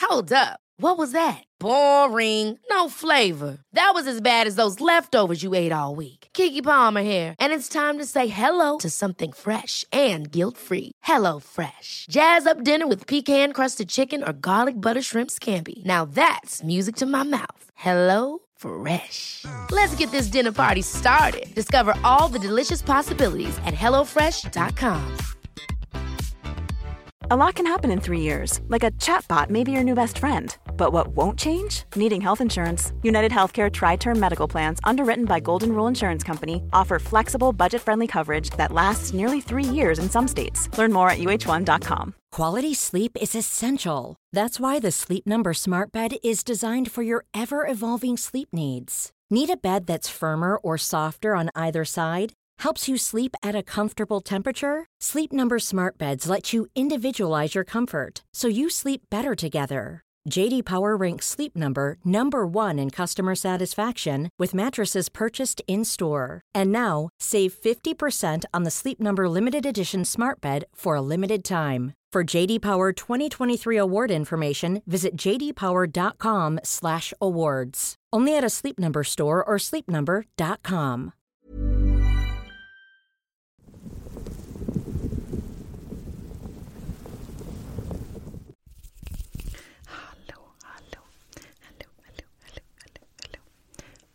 Hold up. What was that? Boring. No flavor. That was as bad as those leftovers you ate all week. Kiki Palmer here, and it's time to say hello to something fresh and guilt-free. Hello Fresh. Jazz up dinner with pecan-crusted chicken or garlic butter shrimp scampi. Now that's music to my mouth. Hello Fresh. Let's get this dinner party started. Discover all the delicious possibilities at HelloFresh.com. A lot can happen in three years, like a chatbot may be your new best friend. But what won't change? Needing health insurance. United Healthcare Tri Term Medical Plans, underwritten by Golden Rule Insurance Company, offer flexible, budget friendly coverage that lasts nearly three years in some states. Learn more at uh1.com. Quality sleep is essential. That's why the Sleep Number Smart Bed is designed for your ever evolving sleep needs. Need a bed that's firmer or softer on either side? Helps you sleep at a comfortable temperature? Sleep Number smart beds let you individualize your comfort so you sleep better together. JD Power ranks Sleep Number number 1 in customer satisfaction with mattresses purchased in-store. And now, save 50% on the Sleep Number limited edition smart bed for a limited time. For JD Power 2023 award information, information, visit jdpower.com/awards. Only at a Sleep Number store or sleepnumber.com. Hallå, hallå, hallå, hallå, hallå, hallå, hallå.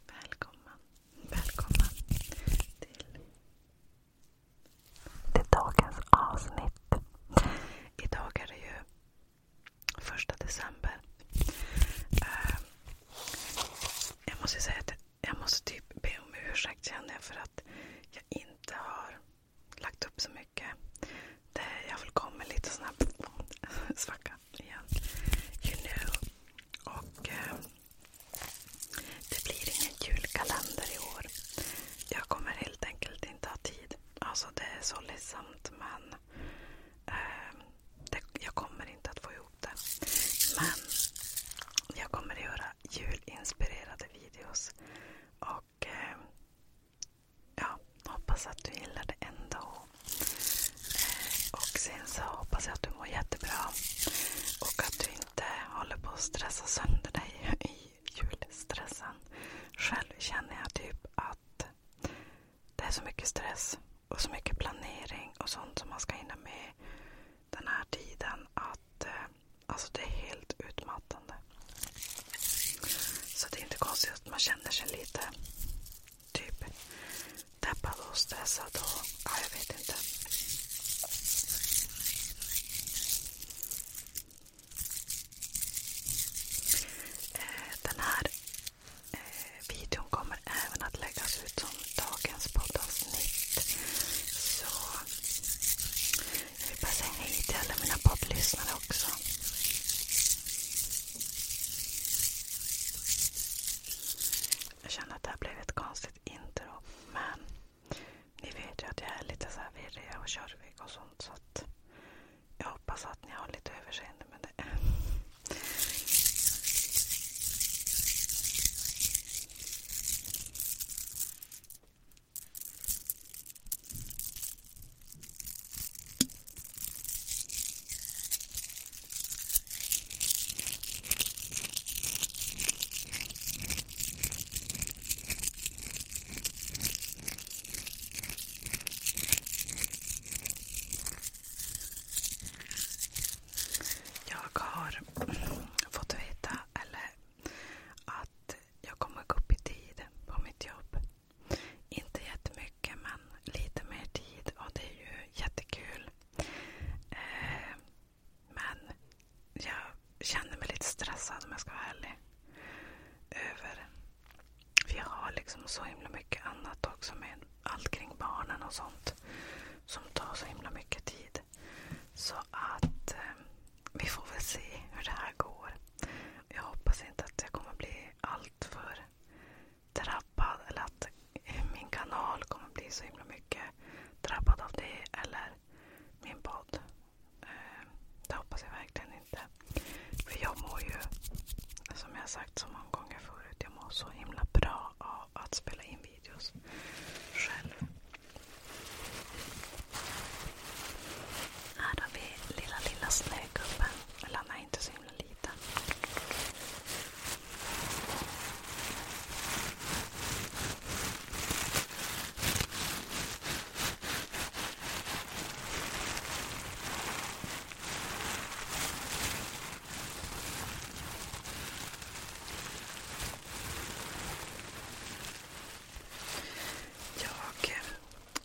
Välkomna, välkomna till till dagens avsnitt. Idag är det ju första december. Eh, jag måste typ be om ursäkt känner jag för att jag inte har lagt upp så mycket. jag har väl kommit lite sån här svacka igen. You know. Och eh, det blir ingen julkalender i år. Jag kommer helt enkelt inte ha tid. Alltså det är så ledsamt men eh, det, jag kommer inte att få ihop det. Men jag kommer att göra julinspirerade videos. Och eh, ja, hoppas att du gillar det ändå. Eh, och sen så hoppas jag att du mår jättebra. Och att du inte håller på att stressa sönder dig julstressen. Själv känner jag typ att det är så mycket stress och så mycket planering och sånt som man ska hinna med den här tiden att eh, alltså det är helt utmattande. Så det är inte konstigt att man känner sig lite typ deppad och stressad och ja, jag vet inte. Eh, den här eh, videon kommer även att läggas ut som dagens poddavsnitt. Så jag vill bara säga hej till alla mina poddlyssnare också. Jag känner att det här blev ett konstigt intro. Men ni vet ju att jag är lite så virrig och körvig och sånt. Så att jag hoppas att ni har lite överseende med det. Jag har fått veta eller att jag kommer gå upp i tid på mitt jobb. Inte jättemycket men lite mer tid och det är ju jättekul. Eh, men jag känner mig lite stressad om jag ska vara ärlig. Över vi har liksom så himla mycket annat också med allt kring barnen och sånt. Som tar så himla mycket tid. Så att eh, vi får väl se hur det här går. Jag hoppas inte att jag kommer bli allt för drabbad eller att min kanal kommer bli så himla mycket drabbad av det eller min podd. Eh, det hoppas jag verkligen inte. För jag mår ju, som jag sagt så många gånger förut, jag mår så himla bra av att spela in videos själv. Här har vi lilla, lilla snögubben. Eller han är inte så himla liten.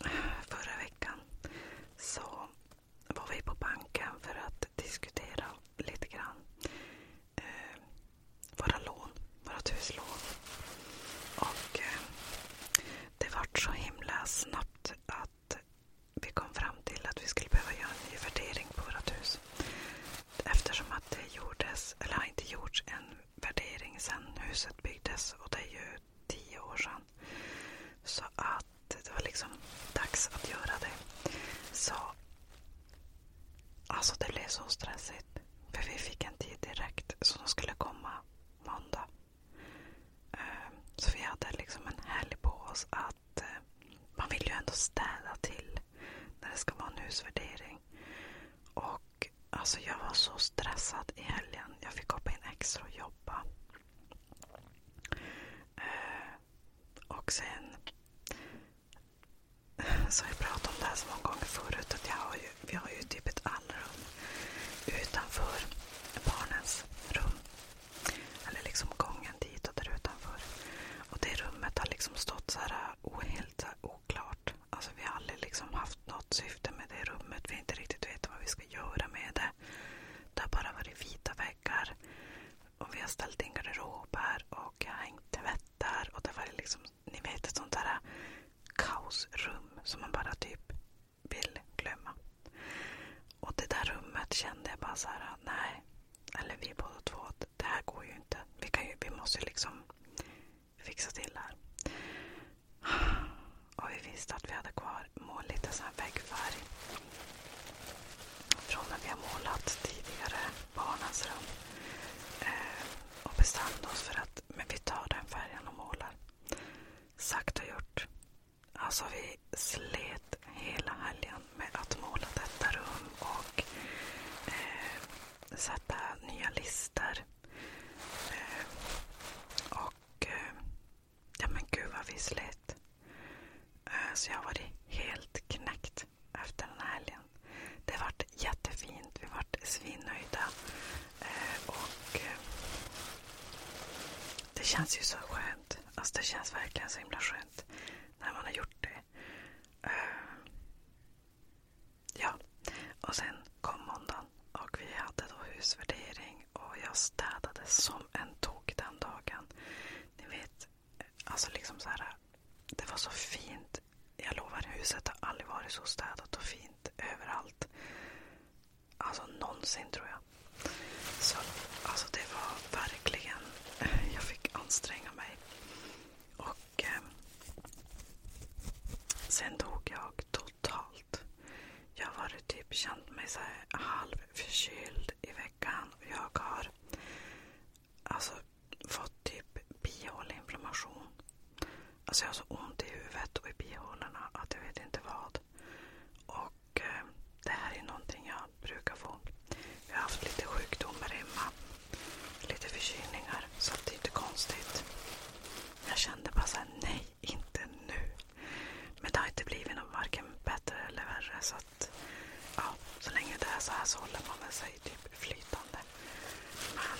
Eh, förra veckan så var vi på banken för att diskutera lite grann eh, våra lån, våra huslån. Och eh, det vart så himla snabbt att vi kom fram till att vi skulle behöva göra en ny värdering på vårt hus. Eftersom att det gjordes, eller har inte gjorts en värdering sedan huset byggdes och det är ju tio år sedan. Så att det var liksom dags att göra det. Så Alltså det blev så stressigt. För vi fick en tid direkt. Så de skulle komma måndag. Eh, så vi hade liksom en helg på oss att eh, man vill ju ändå städa till när det ska vara en husvärdering. Och alltså jag var så stressad i helgen. Jag fick hoppa in extra och jobba. Eh, och sen så har jag pratat om det här så många gånger förut att jag har ju vi har ju typ ett allrum utanför barnens rum. Eller liksom gången dit och där utanför. Och det rummet har liksom stått så här helt så här oklart. Alltså vi har aldrig liksom haft något syfte med det rummet. Vi har inte riktigt vetat vad vi ska göra med det. Det har bara varit vita väggar. Och vi har ställt in garderober och jag har hängt tvättar. Och det var liksom, ni vet ett sånt där kaosrum som man bara typ vill glömma. Och det där rummet kände jag bara så här, nej. Eller vi båda två, det här går ju inte. Vi, kan ju, vi måste ju liksom fixa till det här. Och vi visste att vi hade kvar mål, lite sån här väggfärg. Från när vi har målat tidigare, barnens rum. Eh, och bestämde oss för att men vi tar den färgen och målar. Sagt och gjort. Alltså vi slet hela helgen med att måla detta rum och eh, sätta nya lister. Eh, och eh, ja men gud vad vi slet. Eh, så jag har varit helt knäckt efter den här helgen. Det vart jättefint. Vi vart svinnöjda. Eh, och eh, Det känns ju så skönt. Alltså det känns verkligen så himla skönt när man har gjort det. Eh, ja, och sen kom måndagen och vi hade då husvärdering och jag städade som en tok den dagen. Ni vet, alltså liksom så här. Det var så fint. Jag lovar, huset har aldrig varit så städat och fint överallt alltså någonsin tror jag. Så alltså det var verkligen, jag fick anstränga mig. Och eh, sen dog jag totalt. Jag har varit typ, känt mig så här halvförkyld i veckan. Och jag har alltså fått typ bihåleinflammation. Alltså jag har så ont i huvudet och i bihålorna att jag vet inte vad. Och eh, det här är någonting jag brukar få. Jag har haft lite sjukdomar hemma. Lite förkylningar. Så det är inte konstigt. Jag kände bara såhär, nej, inte nu. Men det har inte blivit något varken bättre eller värre. Så att, ja, så länge det är så här så håller man väl sig typ flytande. Men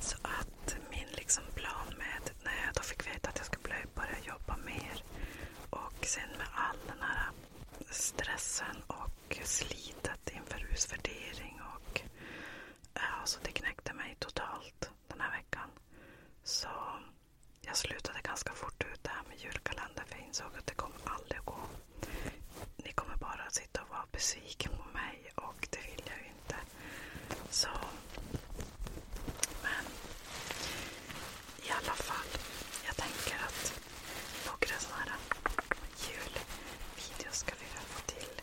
Så att min liksom plan med, när jag då fick veta att jag skulle börja jobba mer och sen med all den här stressen och slitet inför husvärdering alltså det knäckte mig totalt den här veckan. Så jag slutade ganska fort ut det här med julkalendern för jag insåg att det kommer aldrig att gå. Ni kommer bara att sitta och vara var besviken på mig och det vill jag ju inte. Så... Men... I alla fall. Jag tänker att några sådana här julvideos ska vi väl få till.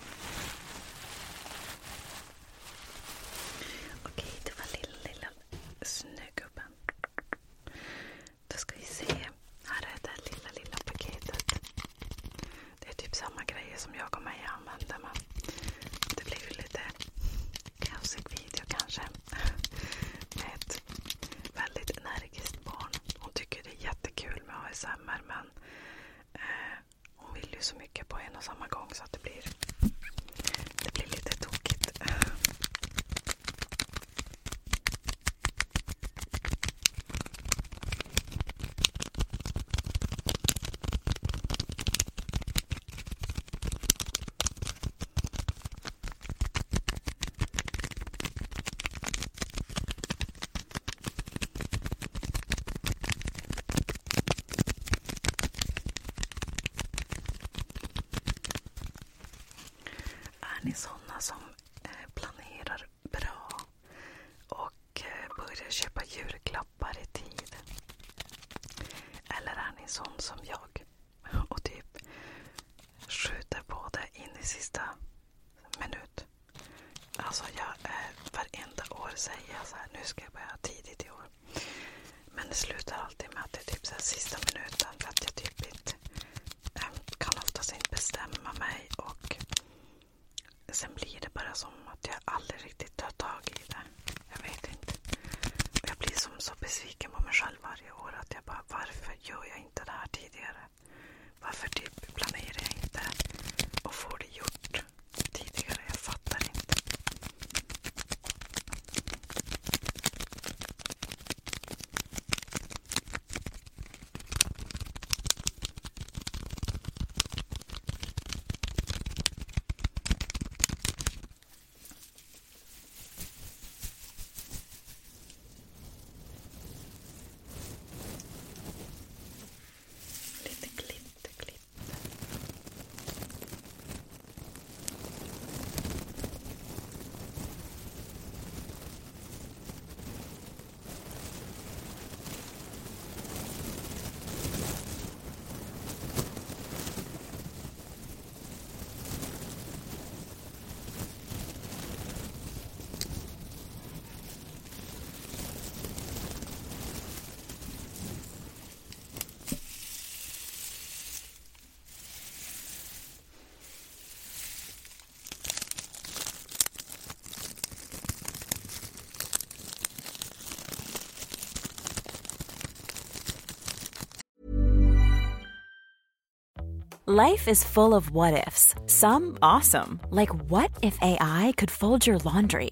Okej, det var lilla, lilla snögubben. Då ska vi se. Här är det lilla, lilla paketet. Det är typ samma grejer som jag och Maja använder men det blir ju lite kaosig video kanske. Med ett väldigt energiskt barn. Hon tycker det är jättekul med ASMR men Eh, hon vill ju så mycket på en och samma gång så att det blir, det blir lite tokigt. Är ni sådana som eh, planerar bra och eh, börjar köpa julklappar i tid? Eller är ni sån som jag och typ skjuter på det in i sista minut? Alltså jag, eh, varenda år säger jag så här, nu ska jag börja tidigt i år. Men det slutar alltid med att det är typ så här sista minuten för att jag typ inte eh, kan oftast inte bestämma mig. Och Sen blir det bara som att jag aldrig riktigt tar tag i det. Jag vet inte. Jag blir som så besviken på mig själv varje år att jag bara, varför gör jag inte det här tidigare? Varför typ planerar jag inte och får det gjort tidigare? Jag fattar inte. Lite glitter, glitter. Life is full of what ifs some awesome, like what if AI could fold your laundry?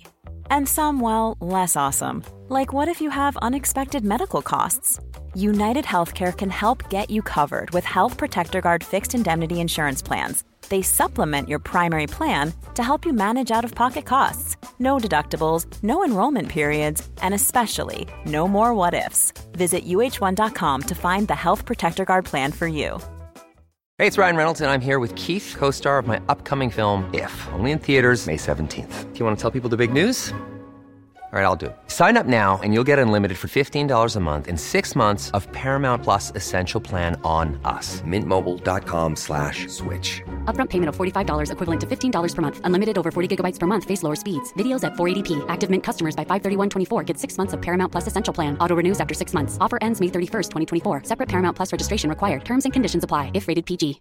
And some, well, less awesome, like what if you have unexpected medical costs? United Healthcare can help get you covered with Health Protector Guard fixed indemnity insurance plans. They supplement your primary plan to help you manage out of pocket costs. No deductibles, no enrollment periods, and especially no more what ifs. Visit uh1.com to find the Health Protector Guard plan for you. Hey, it's Ryan Reynolds, and I'm here with Keith, co star of my upcoming film, If, only in theaters, May 17th. Do you want to tell people the big news? All right, I'll do it. Sign up now and you'll get unlimited for $15 a month in six months of Paramount Plus Essential Plan on us. Mintmobile.com slash switch. Upfront payment of $45 equivalent to $15 per month. Unlimited over 40 gigabytes per month. Face lower speeds. Videos at 480p. Active Mint customers by 531.24 get six months of Paramount Plus Essential Plan. Auto renews after six months. Offer ends May 31st, 2024. Separate Paramount Plus registration required. Terms and conditions apply if rated PG.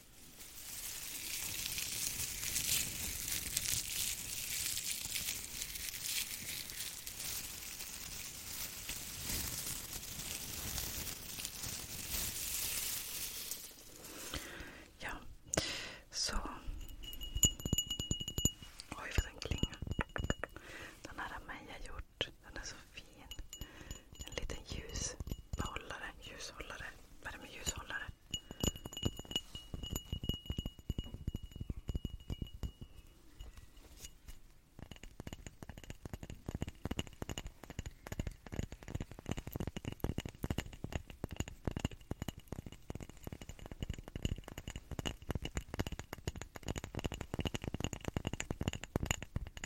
Ja, så. Oj vad den klingar. Den här har Meja gjort. Den är så fin. En liten ljushållare. ljushållare. Vad är det med ljushållare?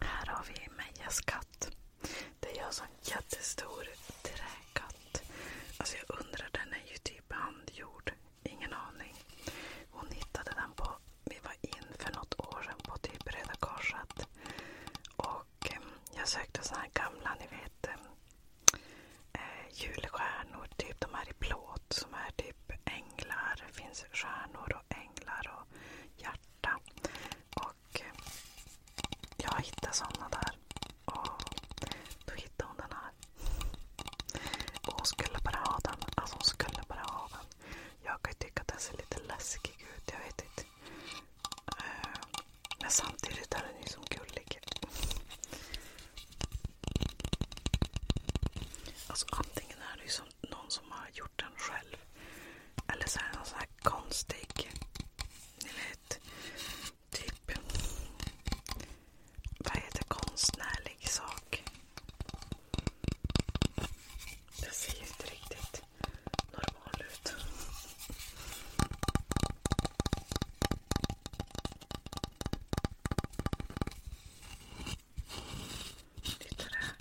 Här har vi Mejas katt. Det är jag som jättestor träkatt. Alltså jag undrar, den är ju typ handgjord. Ingen aning. Hon hittade den på... Vi var in för något år sedan på typ Röda Korset. Och ehm, jag sökte såna här gamla, ni vet, ehm, eh, julstjärnor. Typ de här i plåt som är typ änglar. Det finns stjärnor och änglar och hjärta. Och ehm, jag hittade såna där. Och då hittade hon den här. Och hon skulle bara ha den. Alltså hon skulle bara ha den. Jag kan ju tycka att den ser lite läskig ut. Jag vet inte. Eh, men samtidigt är den ju så gullig. Alltså antingen är det ju som någon som har gjort den själv. Eller så är den någon här konstig, ni vet, typ vad heter konstnärlig sak? Det ser ju inte riktigt normal ut. Titta där.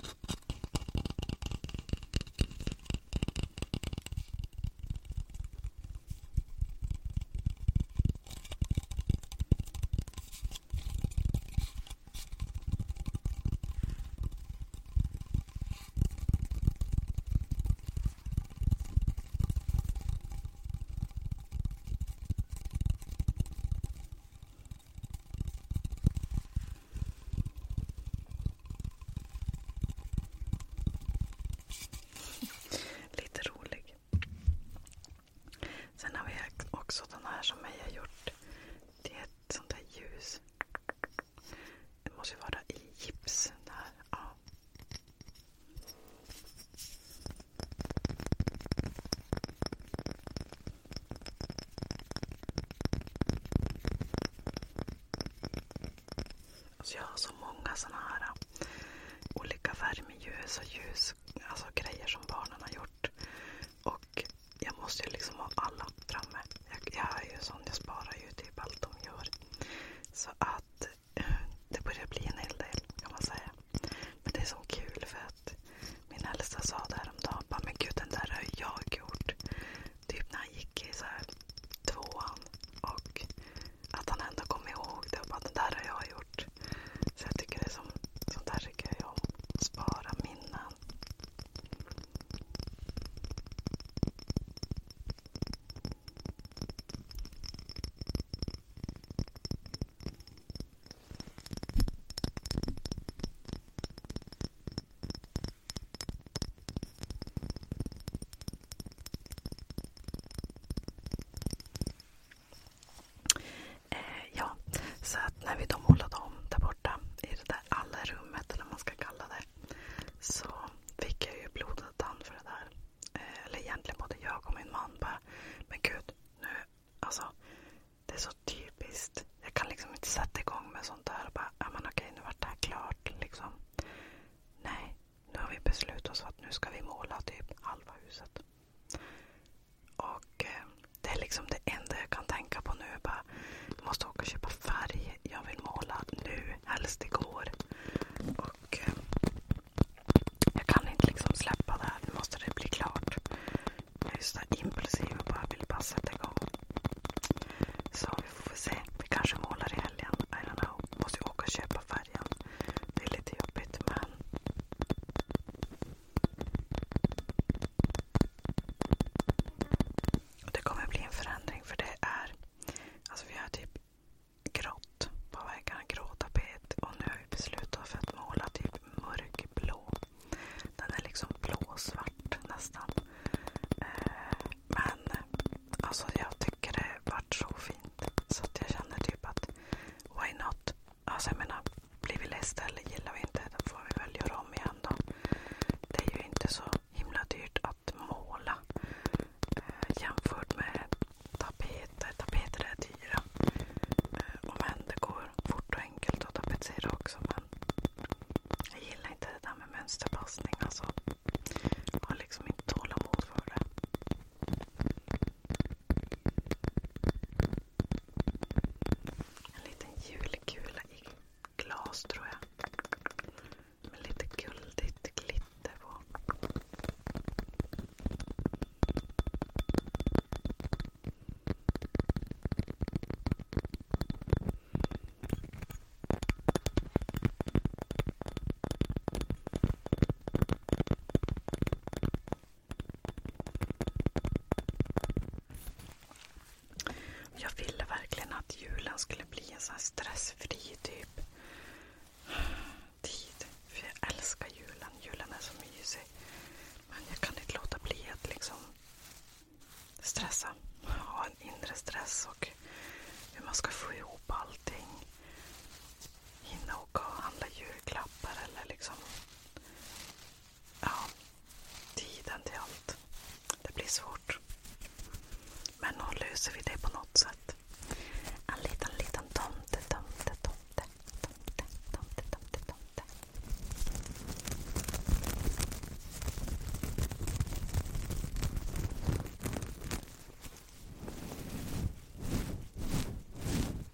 Lite rolig. Sen har vi också den här som jag har gjort. Det är ett sånt där ljus. Det måste ju vara i gips. Där. Ja. Alltså jag har så många såna här äh, olika värmeljus och ljus alltså, grejer som barnen har gjort. Och jag måste ju liksom ha alla framme. Jag, jag är ju sån, jag sparar ju typ allt de gör. Så att eh, det börjar bli en hel del kan man säga. Men det är så kul för att min äldsta sa det häromdagen. Bara, men gud den där har jag gjort. Typ när han gick i så här tvåan. Och att han ändå kom ihåg det och bara den där har jag gjort bort. Så jag tycker det är som, sånt här tycker jag om. Spara minnen. Eh, ja, så att när vi då målade om där borta i det där alla rummet eller vad man ska kalla det. Så fick jag ju blodad tand för det där. Eh, eller egentligen både jag och min man bara, men gud, nu, alltså. Det är så typiskt. Jag kan liksom inte sätta igång med sånt där och bara, ja men okej nu vart det här klart liksom. Nej, nu har vi beslutat oss för att nu ska vi måla typ halva huset. Och eh, Det är liksom det enda jag kan tänka på nu. Bara, jag måste åka och köpa färg. Jag vill måla nu, helst igår. Och, eh, jag kan inte liksom släppa det här. Nu måste det bli klart. Jag är så impulsiv och bara vill bara sätta igång. Så vi får väl se. Vi kanske målar i helgen. I don't know. Måste ju åka och köpa färgen. Det är lite jobbigt men det kommer bli en förändring för det är, alltså vi har typ grått på väggarna, grå tapet och nu har vi beslutat att måla typ mörkblå. Den är liksom blåsvart nästan. Eh, men alltså jag tycker det vart så fint så att jag känner typ att why not? Alltså jag menar, blir vi ledsna eller gillar vi inte, då får vi väl göra om igen då. Det är ju inte så himla dyrt att måla eh, jämfört med tapeter. Tapeter är dyra. Eh, och men det går fort och enkelt att tapetsera också. Men jag gillar inte det där med mönsterpassning. Alltså. Jag har liksom inte tålamod för det. En liten julkula i glas tror jag. Med lite guldigt glitter på. Jag ville verkligen att julen skulle bli en sån stressfri typ tid. För jag älskar julen. Julen är så mysig. Men jag kan inte låta bli att liksom stressa. Ha en inre stress och hur man ska få ihop allting. Hinna åka och handla julklappar eller liksom ja, tiden till allt. Det blir svårt. Men nog löser vi det på något sätt. En liten, liten tomte, tomte, tomte, tomte, tomte, tomte, tomte.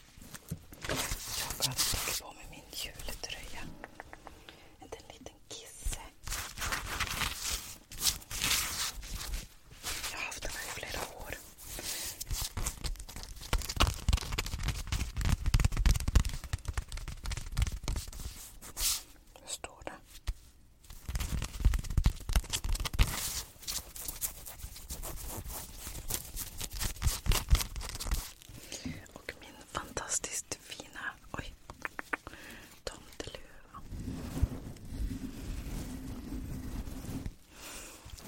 Jag har tagit på mig min jultröja. En liten kisse. Jag har haft den här i flera år. Hur står det? Och min fantastiskt fina oj, tomteluva.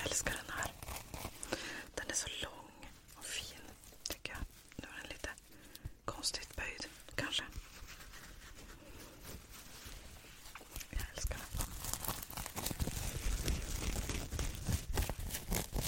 älskar den här. Den är så lång och fin tycker jag. Nu är den lite konstigt böjd kanske. Jag älskar den.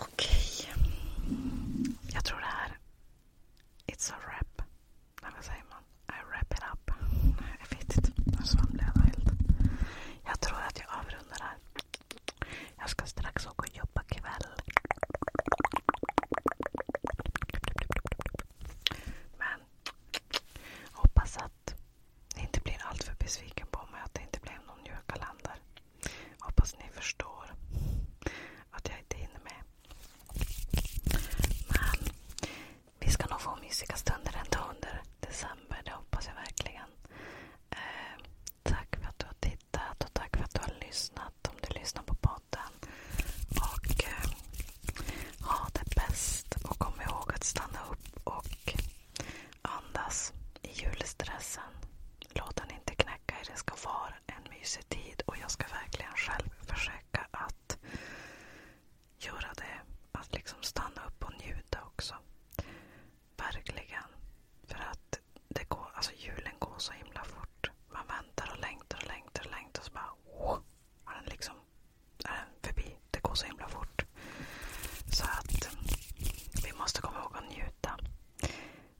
Okej. Jag tror det här... It's a wrap. Eller vad säger man? I wrap it up. jag vet inte. Nu svamlar jag helt. Jag tror att jag avrundar här. Jag ska strax åka och jobba kväll. Men hoppas att ni inte blir alltför besviken på mig. Att det inte blev någon julkalender. Hoppas ni förstår att jag inte hinner med. Men vi ska nog få mysiga stunder ändå under december. Det hoppas jag verkligen. Eh, tack för att du har tittat och tack för att du har lyssnat om du lyssnar på podden. Och eh, ha det bäst. Och kom ihåg att stanna upp och andas i julstressen. Låt den inte knäcka er. Det ska vara en mysig tid och jag ska verkligen själv försöka att göra det. Att liksom stanna upp och njuta också. Verkligen. För att det går, alltså julen går så himla fort. Man väntar och längtar och längtar och längtar och så bara... Oh, är den liksom är den förbi. Det går så himla fort. Så att vi måste komma ihåg att njuta.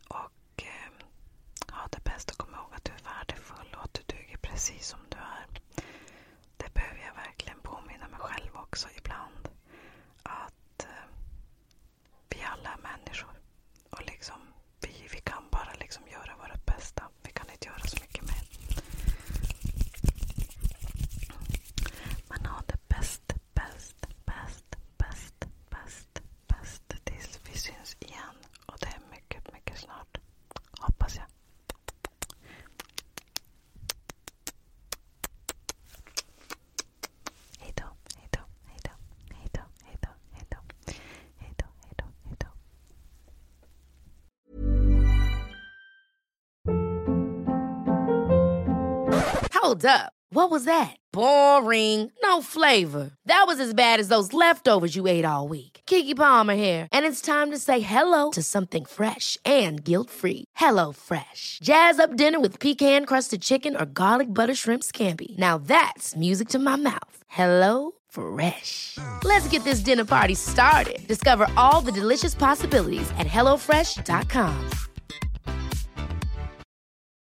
Och ha eh, det bäst och kom ihåg att du är värdefull och att du duger precis som du är. Det behöver jag verkligen påminna mig själv också ibland. Att eh, vi alla är människor. Och liksom, vi, vi kan bara liksom göra vårt bästa. Vi kan inte göra så mycket mer. Men ha det bäst, bäst, bäst, bäst, bäst bäst, tills vi syns igen. Och det mycket, mycket snart. Hoppas jag. Hej då, hej då, hej då, hej då, hej då, hej då, hej då, hej då, hej då. Hold up. What was that? Boring. No flavor. That was as bad as those leftovers you ate all week. Kiki Palmer here, and it's time to say hello to something fresh and guilt-free. Hello Fresh. Jazz up dinner with pecan-crusted chicken or garlic butter shrimp scampi. Now that's music to my mouth. Hello Fresh. Let's get this dinner party started. Discover all the delicious possibilities at hellofresh.com.